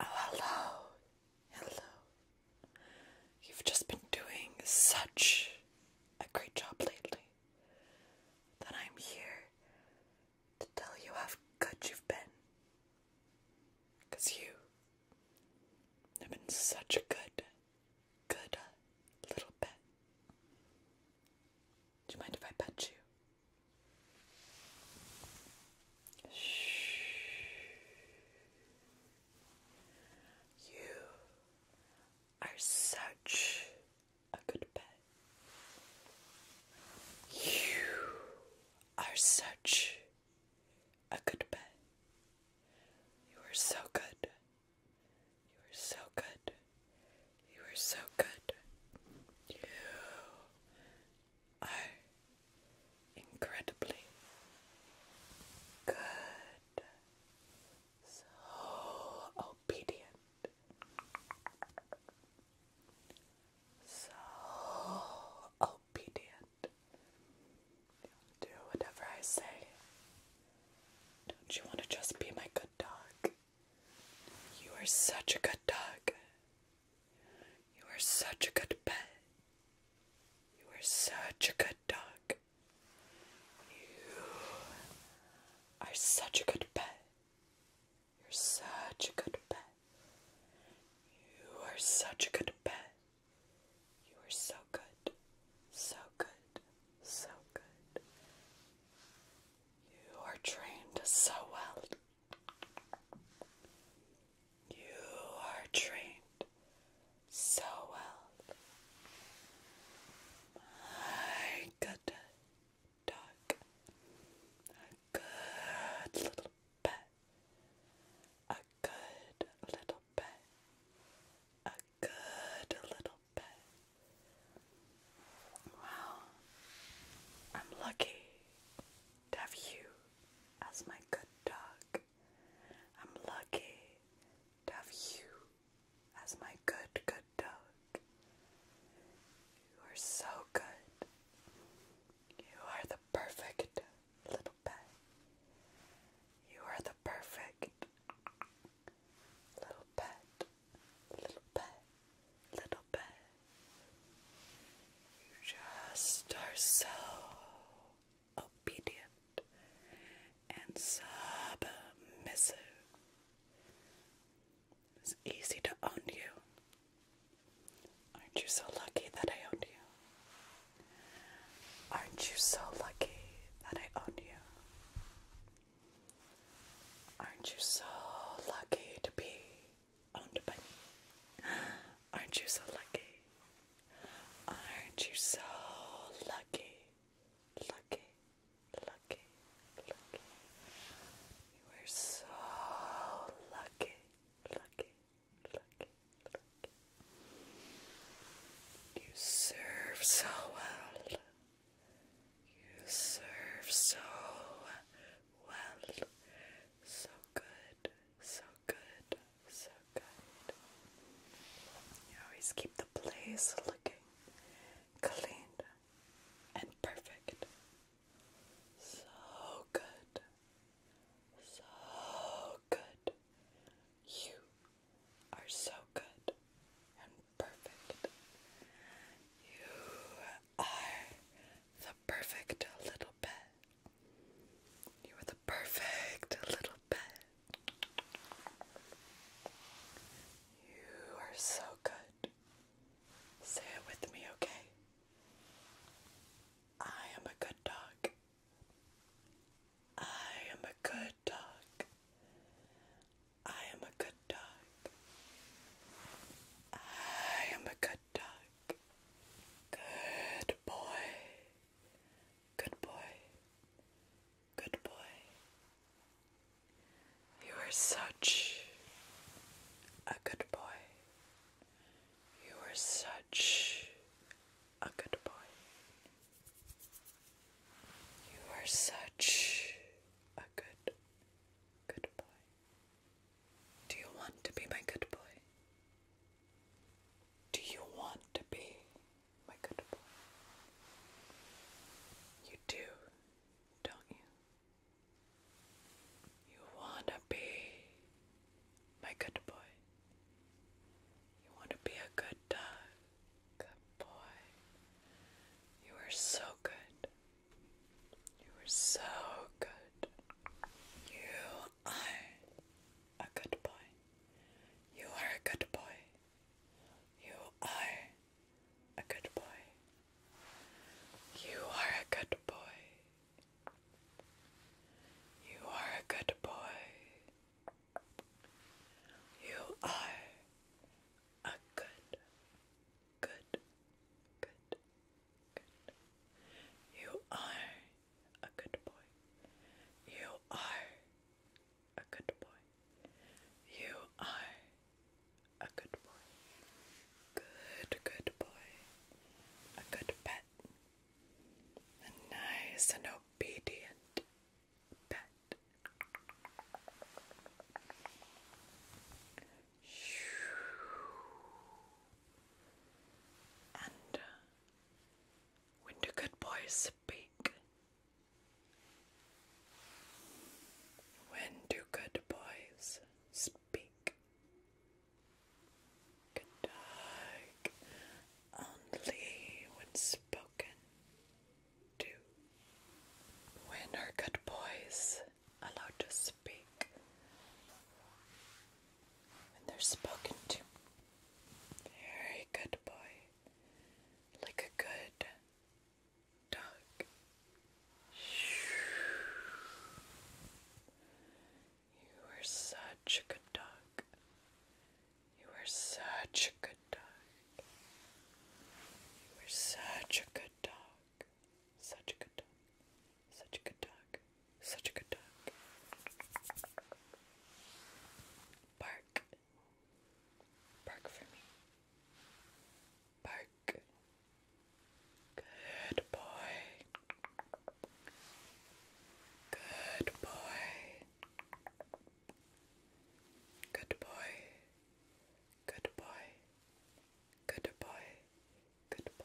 Oh, hello. Hello. You've just been doing such a great job lately that I'm here to tell you how good you've been. you have been such a good, good little pet. Do you mind if I pet you? Shh. You are such a good pet. You are such a good pet. You are so good. You are so good. You are so good. You are incredibly good. So obedient. So obedient. do whatever I say. Don't you want to just be my good dog? You are such a good dog. You are such a good pet. You are such a good dog. You are such a good pet. You're such a good pet. You are such a good pet. You are so good. So good. So good. You are trained so well. You are trained so well. My good dog. A good little pet. A good little pet. A good little but well, I'm lucky to have you as my good dog. I'm lucky to have you as my good, good dog. You are so good. You are the perfect little pet. You are the perfect little pet, little pet, little pet. You just are so obedient and submissive. It's easy to own you. Aren't you so lucky that I own you? Aren't you so lucky that I own you? Aren't you so lucky to be owned by me? Aren't you so lucky? Aren't you so lucky? Lucky, lucky, lucky. You are so lucky, lucky, lucky, lucky. You serve so well. You serve so well, so good, so good, so good. You always keep the place looking clean and perfect. So good, so good. You are so good and perfect. You are the perfect little pet. You are the perfect little pet. You are so good. Say it with me, okay? I am a good dog. I am a good dog. I am a good dog. I am a good dog. Good boy. Good boy. Good boy. You are such a good boy. You are such a good boy. You are such a good, good boy. Do you want to be my good boy? Do you want to be my good boy? You do, don't you? You want to be my good boy. You want to be a good dog. Good boy. You are so good. You are so good. You are a good boy. You are a good boy. You are a good boy. You are a good boy. You are a good boy. You are a good, good, good, good. You are a good boy. You are a good boy. You are a good boy. Good, good boy. A good pet. A nice and obedient pet. And uh, when do good boys speak? When do good boys speak? Conduct only when spoken to. When are good boys allowed to speak? When they're spoken to. Very good boy. Like a good dog. You were such a good dog. You were such a good dog. You were such a good dog. Such a good dog. Such a good dog. Such a good dog. Bark. Bark for me. Bark. Good boy. Good boy. Good boy. Good boy. Good boy. Good boy.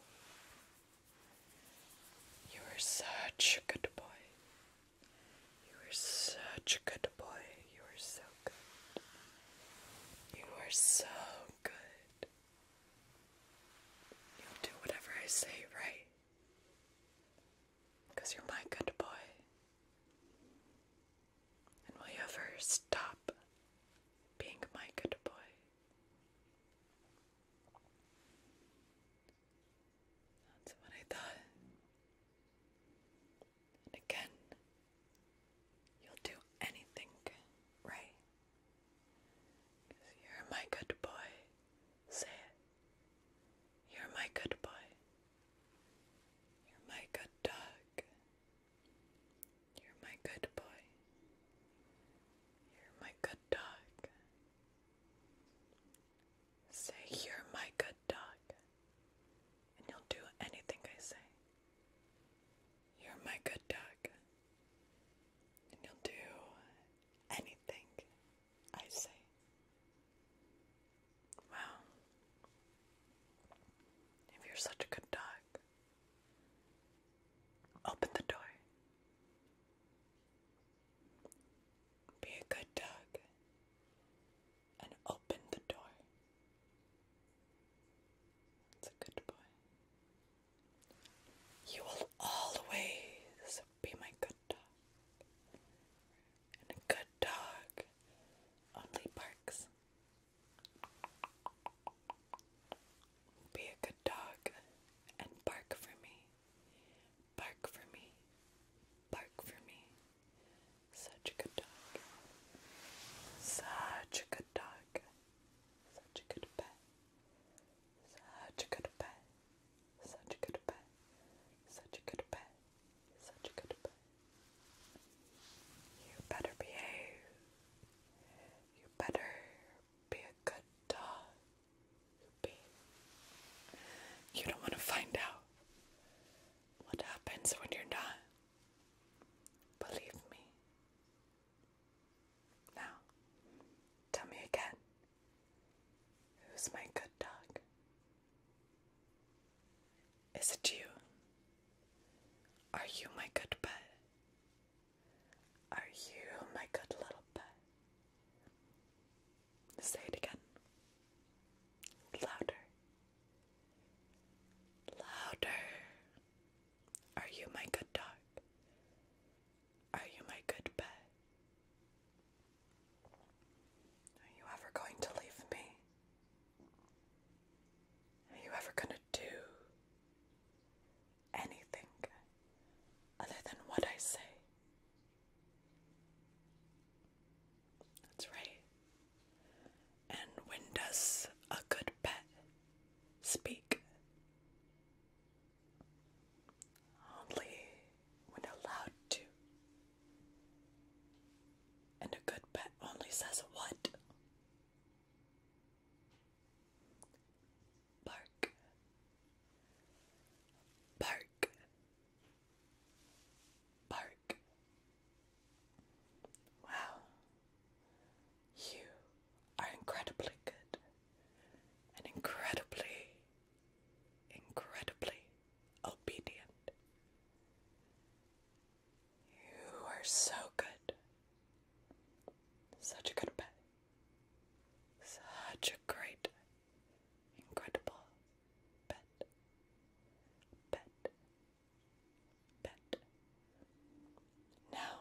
You are such a good boy. You are such a good boy. You are so good. You are so good. You'll do whatever I say, right? you're my good boy. And will you ever stop being my good boy? That's what I thought. And again, you'll do anything, right? Cause you're my good boy. Say You're my good boy. You're my good dog. You're my good boy. You're my good dog. Say, you're my good dog. And you'll do anything I say. You're my good dog. And you'll do anything I say. Wow. If you're such a good dog, open the door. Be a good dog and open the door. It's a good boy. You will always be my good dog. And a good dog only barks. Be a good dog and bark for me. Bark for me. Bark for me. Such a good dog. Such a good dog, such a good pet, such a good pet, such a good pet, such a good pet, such a good pet. You better behave. You better be a good dog. You don't want to find out what happens when you're not. Believe me. Now, tell me again. Who's my good dog? Is it you? Are you my good pet? Are you my good little pet? Say it again. Louder. Louder. Are you my good dog? Are you my good pet? Are you ever going to leave me? Are you ever going to do anything other than what I say? That's right. And when does a good pet speak? Only when allowed to. And a good pet only says what? Bark. Bark. Park. Wow. You are incredibly good and incredibly, incredibly obedient. You are so good. Such a good pet. Such a great Incredible. Pet. Pet. Pet. Now,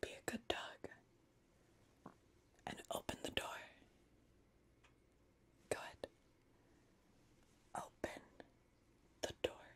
be a good dog and open the door. Good. Open the door.